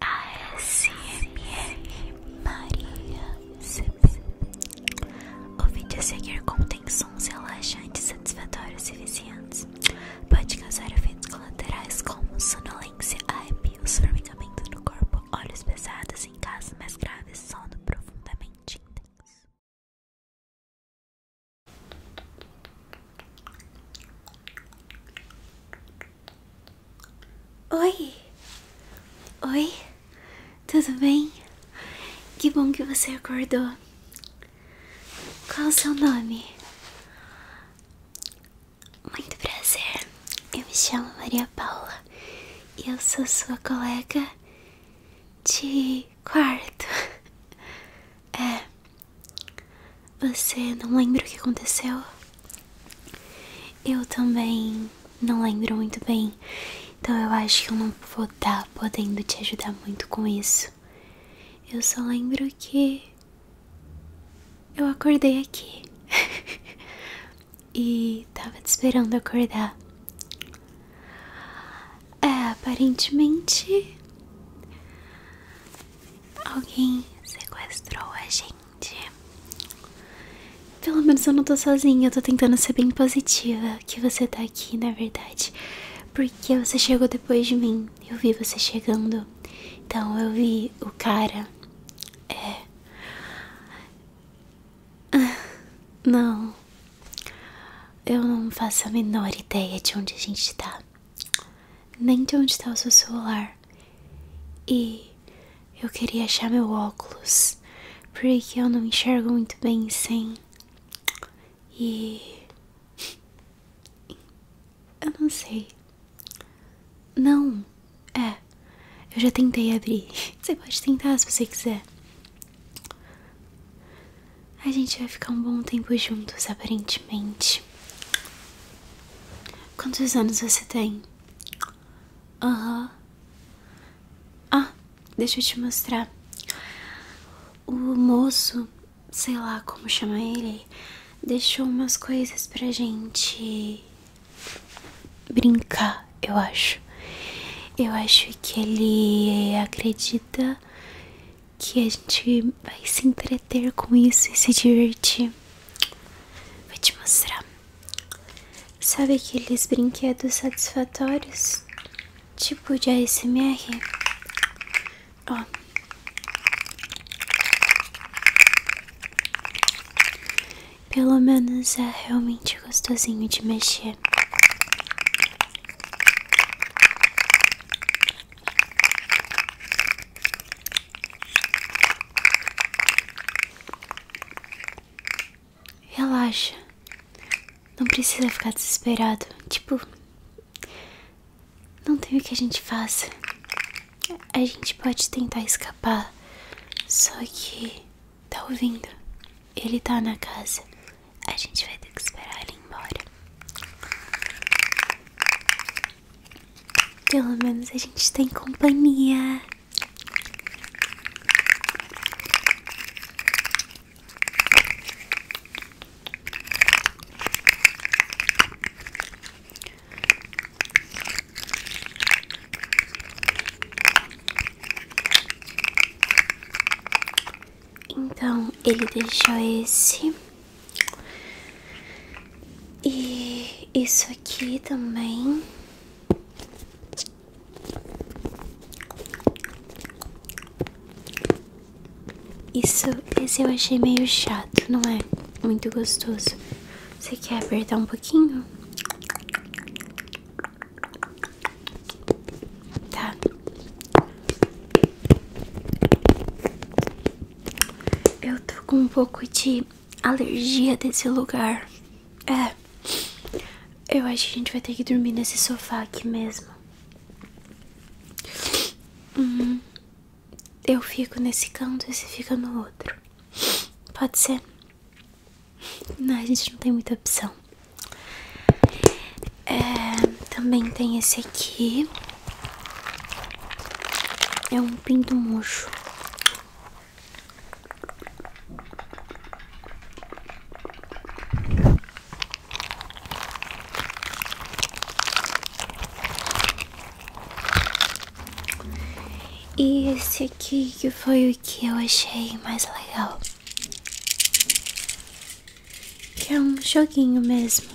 ASMR Maria CP. O vídeo a seguir contém sons relaxantes, satisfatórios e viciantes. Pode causar efeitos colaterais como sonolência, arrepios, formigamento no corpo, olhos pesados em casos mais graves, sono profundamente intenso. Oi! Oi, tudo bem? Que bom que você acordou. Qual o seu nome? Muito prazer, eu me chamo Maria Paula e eu sou sua colega de quarto. É. Você não lembra o que aconteceu? Eu também não lembro muito bem, então eu acho que eu não vou estar tá podendo te ajudar muito com isso. Eu só lembro que eu acordei aqui e tava te esperando acordar. É, aparentemente alguém sequestrou a gente. Pelo menos eu não tô sozinha, eu tô tentando ser bem positiva que você tá aqui, na verdade. Porque você chegou depois de mim. Eu vi você chegando. Então eu vi o cara. É. Ah, não. Eu não faço a menor ideia de onde a gente tá. Nem de onde tá o seu celular. E eu queria achar meu óculos, porque eu não enxergo muito bem sem. E. Eu não sei. Não, é. Eu já tentei abrir. Você pode tentar se você quiser. A gente vai ficar um bom tempo juntos, aparentemente. Quantos anos você tem? Aham. Ah, deixa eu te mostrar. O moço, sei lá como chama ele, deixou umas coisas pra gente brincar, eu acho. Eu acho que ele acredita que a gente vai se entregar ter com isso e se divertir. Vou te mostrar. Sabe aqueles brinquedos satisfatórios? Tipo de ASMR? Ó. Pelo menos é realmente gostosinho de mexer. Relaxa, não precisa ficar desesperado. Tipo, não tem o que a gente faça. A gente pode tentar escapar, só que tá ouvindo? Ele tá na casa. A gente vai ter que esperar ele ir embora. Pelo menos a gente tem companhia. Então ele deixou esse e isso aqui também. Isso, esse eu achei meio chato, não é? Muito gostoso. Você quer apertar um pouquinho? Tá. Eu tô com um pouco de alergia desse lugar. É. Eu acho que a gente vai ter que dormir nesse sofá aqui mesmo. Uhum. eu fico nesse canto e você fica no outro. Pode ser? Não, a gente não tem muita opção. É, também tem esse aqui. É um pinto murcho. E esse aqui que foi o que eu achei mais legal. Que é um joguinho mesmo.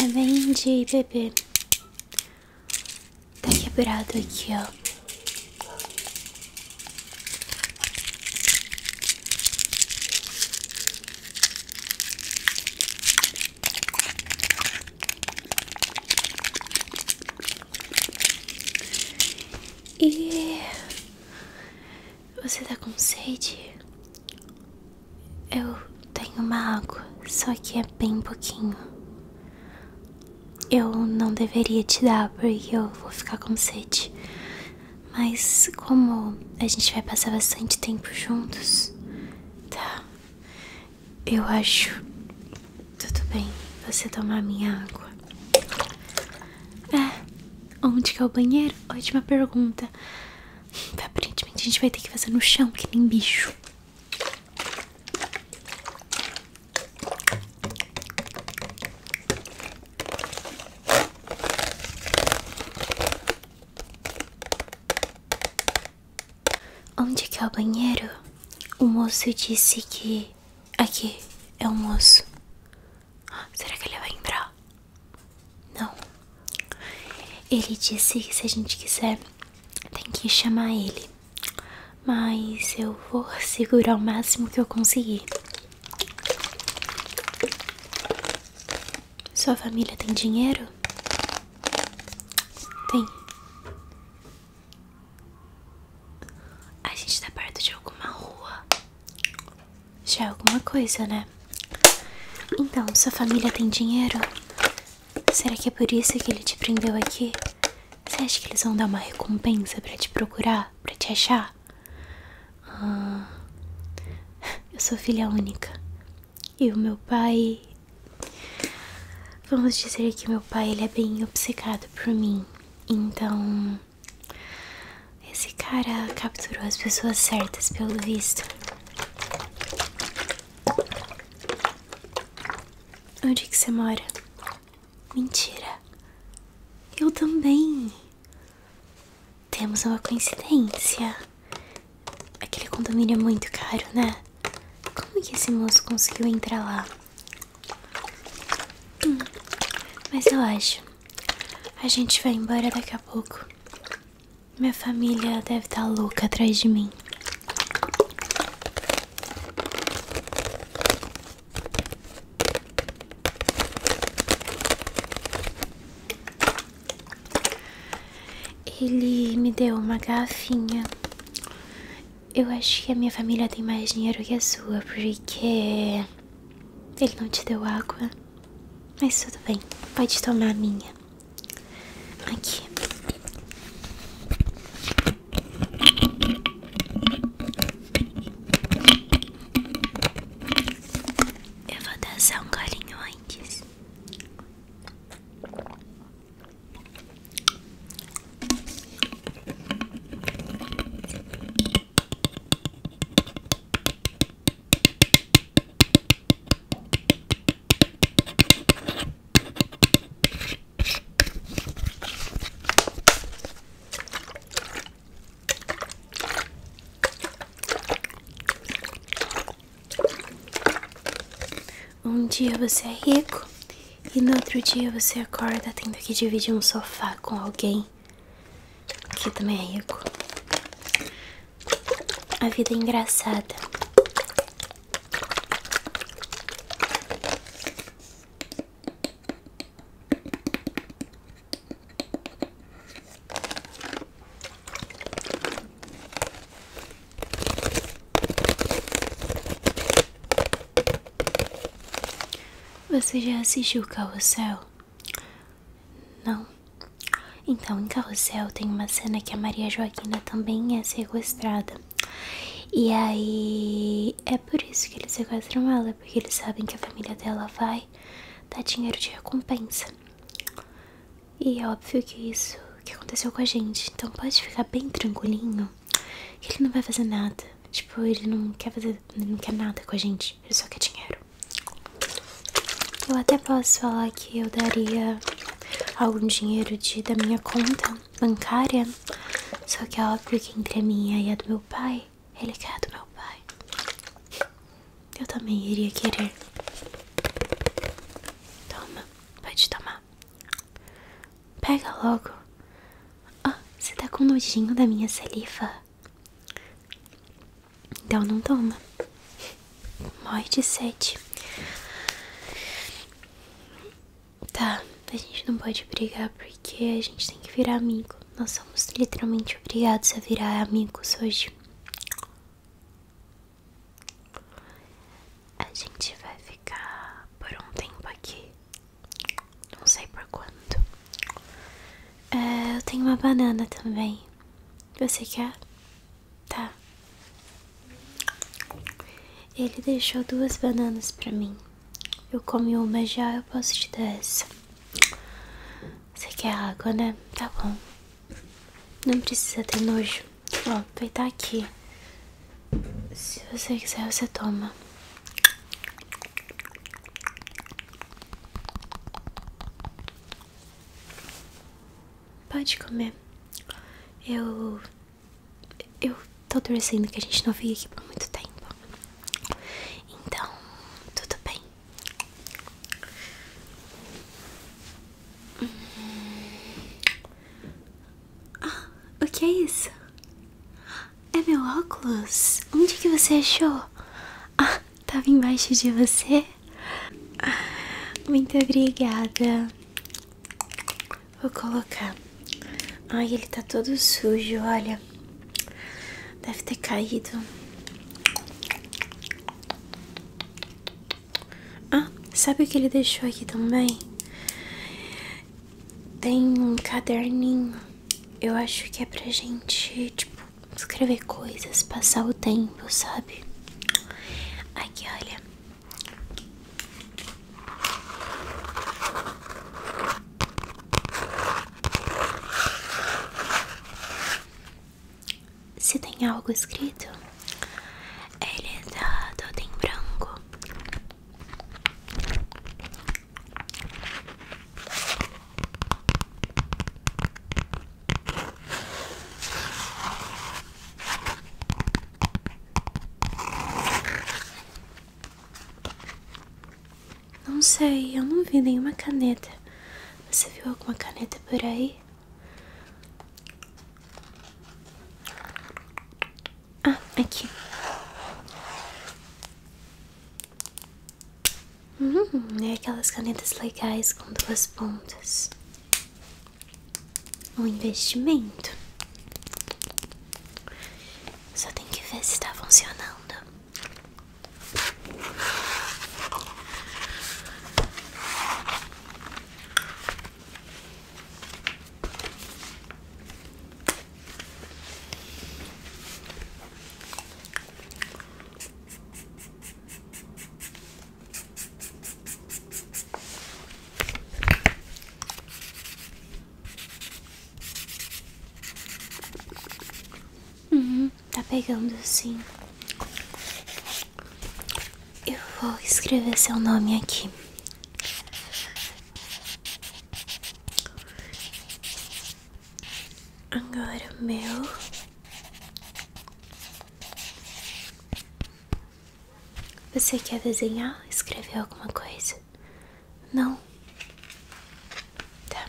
É bem de bebê. Tá quebrado aqui, ó. E você tá com sede? Eu tenho uma água, só que é bem pouquinho. Eu não deveria te dar porque eu vou ficar com sede. Mas como a gente vai passar bastante tempo juntos, tá? Eu acho tudo bem você tomar minha água. É, onde que é o banheiro? Ótima pergunta. Aparentemente a gente vai ter que fazer no chão, que nem bicho. Onde é que é o banheiro? O moço disse que aqui é o moço. Será que ele vai entrar? Não. Ele disse que se a gente quiser tem que chamar ele, mas eu vou segurar o máximo que eu conseguir. Sua família tem dinheiro? Tem. A gente tá perto de alguma rua. Já é alguma coisa, né? Então, sua família tem dinheiro? Será que é por isso que ele te prendeu aqui? Você acha que eles vão dar uma recompensa para te procurar, para te achar? Ah, eu sou filha única. E o meu pai. Vamos dizer que meu pai ele é bem obcecado por mim. Então. Esse cara capturou as pessoas certas, pelo visto. Onde que você mora? Mentira. Eu também. Temos uma coincidência. Aquele condomínio é muito caro, né? Como que esse moço conseguiu entrar lá? Hum, mas eu acho. A gente vai embora daqui a pouco. Minha família deve estar tá louca atrás de mim. Ele me deu uma garrafinha. Eu acho que a minha família tem mais dinheiro que a sua, porque ele não te deu água. Mas tudo bem, pode tomar a minha. Aqui. Eu vou dar só um golinho antes. Um dia você é rico e no outro dia você acorda tendo que dividir um sofá com alguém que também é rico. A vida é engraçada. Você já assistiu o Carrossel? Não? Então, em Carrossel tem uma cena que a Maria Joaquina também é sequestrada. E aí é por isso que eles sequestram ela, porque eles sabem que a família dela vai dar dinheiro de recompensa. E é óbvio que isso que aconteceu com a gente. Então pode ficar bem tranquilinho que ele não vai fazer nada. Tipo, ele não quer fazer. não quer nada com a gente. Ele só quer dinheiro. Eu até posso falar que eu daria algum dinheiro de, da minha conta, bancária. Só que é óbvio entre a minha e a do meu pai, ele quer a do meu pai. Eu também iria querer. Toma, pode tomar. Pega logo. Ah, você tá com nojinho da minha saliva? Então não toma. Morre de sede. Tá, a gente não pode brigar porque a gente tem que virar amigo. Nós somos literalmente obrigados a virar amigos hoje. A gente vai ficar por um tempo aqui. Não sei por quanto. É, eu tenho uma banana também. Você quer? Tá. Ele deixou duas bananas para mim. Eu comi uma já, eu posso te dar essa. Você quer água, né? Tá bom. Não precisa ter nojo. Ó, vai estar tá aqui. Se você quiser, você toma. Pode comer. Eu eu tô torcendo que a gente não fique aqui por muito tempo. Então, tudo bem. Hum. Ah, o que é isso? É meu óculos? Onde que você achou? Ah, tava embaixo de você? Ah, muito obrigada. Vou colocar. Ai, ele tá todo sujo, olha. Deve ter caído. Ah, sabe o que ele deixou aqui também? Tem um caderninho. Eu acho que é pra gente, tipo, escrever coisas, passar o tempo, sabe? Aqui, olha. Se tem algo escrito, ele tá é todo em branco. Não sei, eu não vi nenhuma caneta. Você viu alguma caneta por aí? Ah, aqui. Hum, é aquelas canetas legais com duas pontas um investimento. Só tem que ver se está funcionando. Uhum, tá pegando sim. Eu vou escrever seu nome aqui. Agora meu. Você quer desenhar? Escrever alguma coisa? Não? Tá.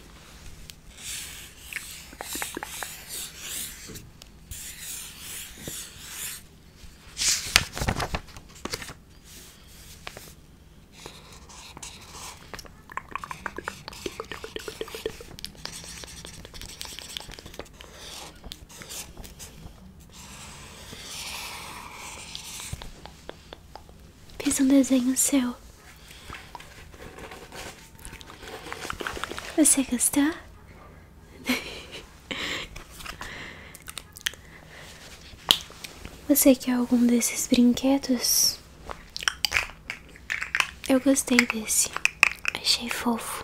Fiz um desenho seu. Você gostou? Você quer algum desses brinquedos? Eu gostei desse. Achei fofo.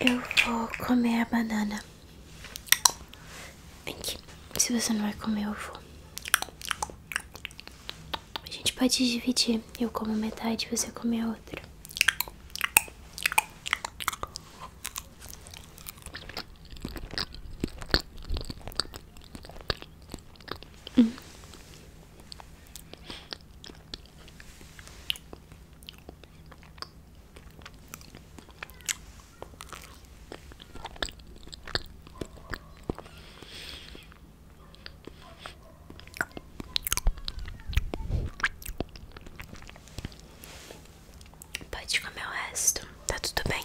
Eu vou comer a banana. aqui. Se você não vai comer, eu vou. A gente pode dividir. Eu como metade você come a outra. Pode comer o resto, tá tudo bem.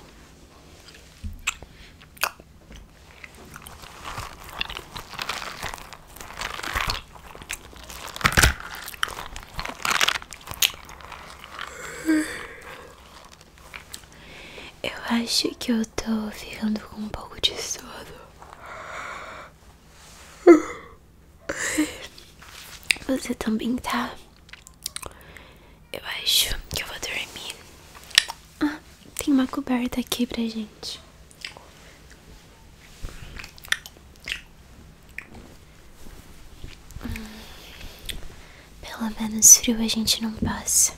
Eu acho que eu tô ficando com um pouco de sono. Você também tá? Eu acho que eu vou dormir. Ah, tem uma coberta aqui pra gente. Hum, pelo menos frio a gente não passa.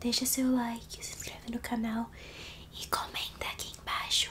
Deixa seu like, se inscreve no canal e comenta aqui embaixo.